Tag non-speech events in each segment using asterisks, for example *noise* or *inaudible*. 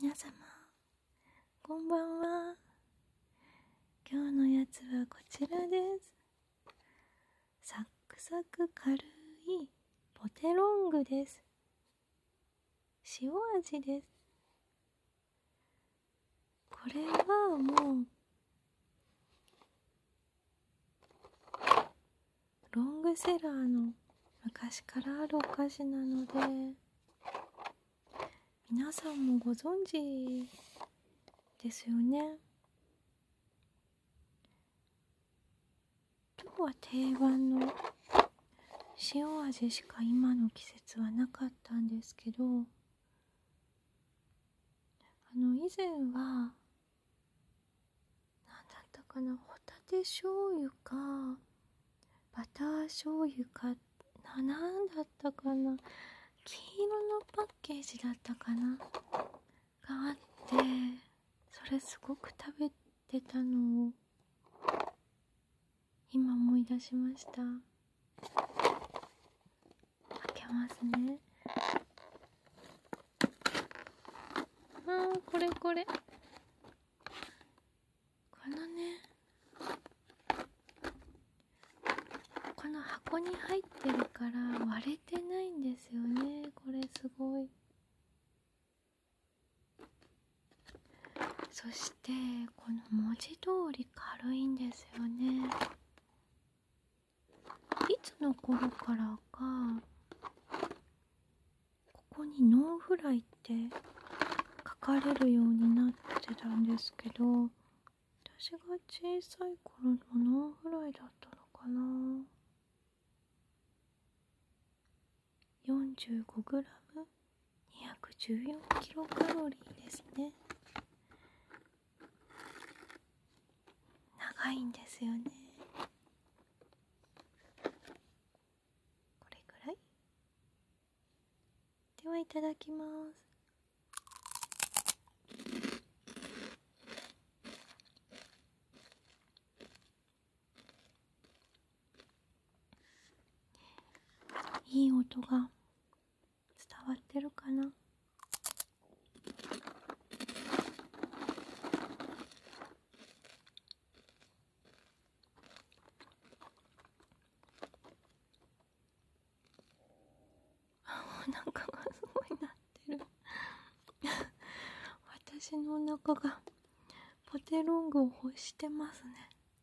皆様こんばんは今日のやつはこちらですサックサク軽いポテロングです塩味ですこれはもうロングセラーの昔からあるお菓子なので皆さんもご存知ですよね今日は定番の塩味しか今の季節はなかったんですけどあの以前は何だったかなホタテ醤油かバター醤油かな何だったかな黄色のパッケージだったかながあってそれすごく食べてたのを今思い出しました開けますねあーこれこれこのねこの箱に入ってるから割れてないんですよねこれすごいそしてこの文字通り軽いんですよねいつの頃からかここに「ノンフライ」って書かれるようになってたんですけど私が小さい頃のノンフライだったのかな 45g214kcal ですね長いんですよねこれくらいではいただきますいい音が伝わってるかな *laughs* お腹がすごいなってる *laughs* 私のおがポテロングを欲してますね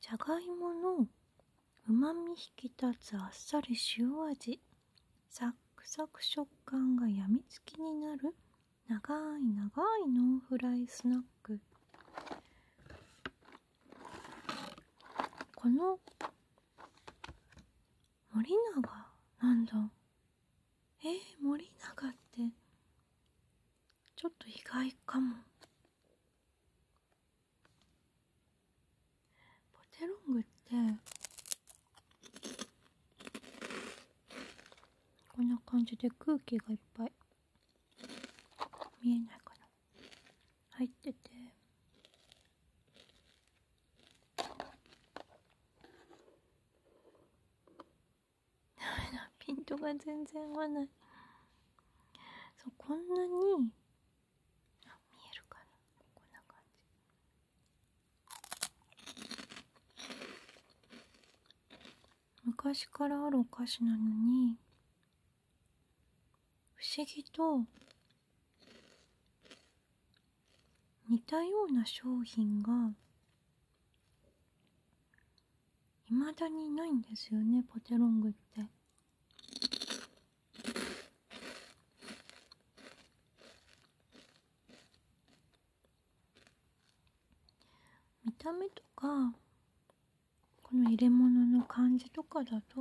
じゃがいものうまみ引き立つあっさり塩味サックサク食感が病みつきになる長い長いノンフライスナックこの森永なんだえ森永ってちょっと意外かもポテロングってこんな感じで空気がいっぱい見えないかな入っててダメだピントが全然合わないそうこんなに見えるかなこんな感じ昔からあるお菓子なのに不思議と似たような商品がいまだにないんですよねポテロングって見た目とかこの入れ物の感じとかだと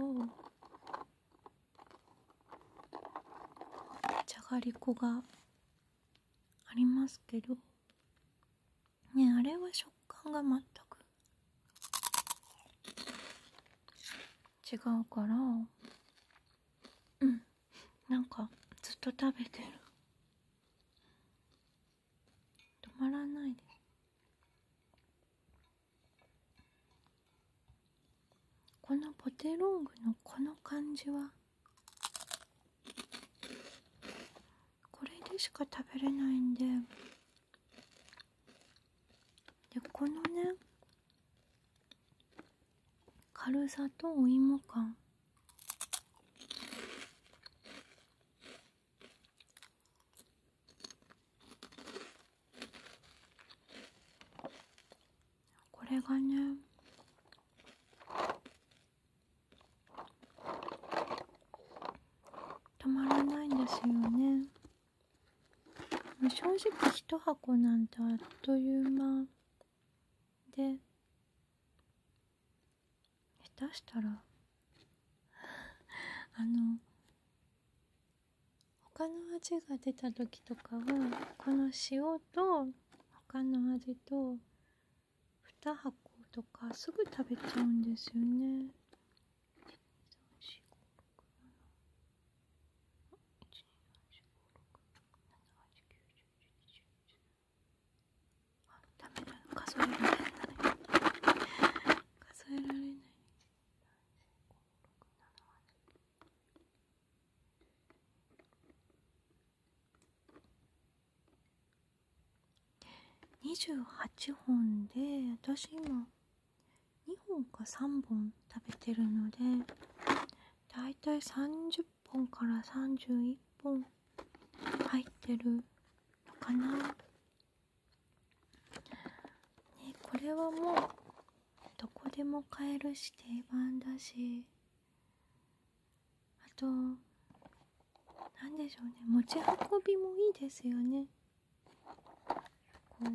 じゃがりこがありますけどねあれは食感が全く違うからうんなんかずっと食べてる止まらないでこのポテロングのこの感じはこれでしか食べれないんででこのね軽さとお芋感これがね止まらないんですよね正直1箱なんてあっという間で下手したらあの他の味が出た時とかはこの塩と他の味と2箱とかすぐ食べちゃうんですよね。ダメだ数えられない数えられない。28本で私今2本か3本食べてるのでだいたい30本から31本入ってるのかなねこれはもうどこでも買えるし定番だしあと何でしょうね持ち運びもいいですよねこう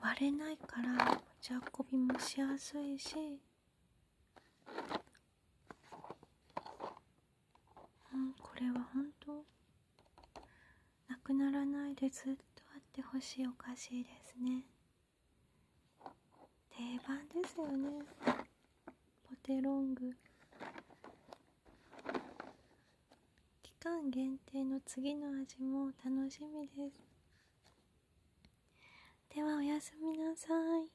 割れないから持ち運びもしやすいしうんこれは本当なくならないでずっとあってほしいお菓子ですね定番ですよねポテロング期間限定の次の味も楽しみですではおやすみなさい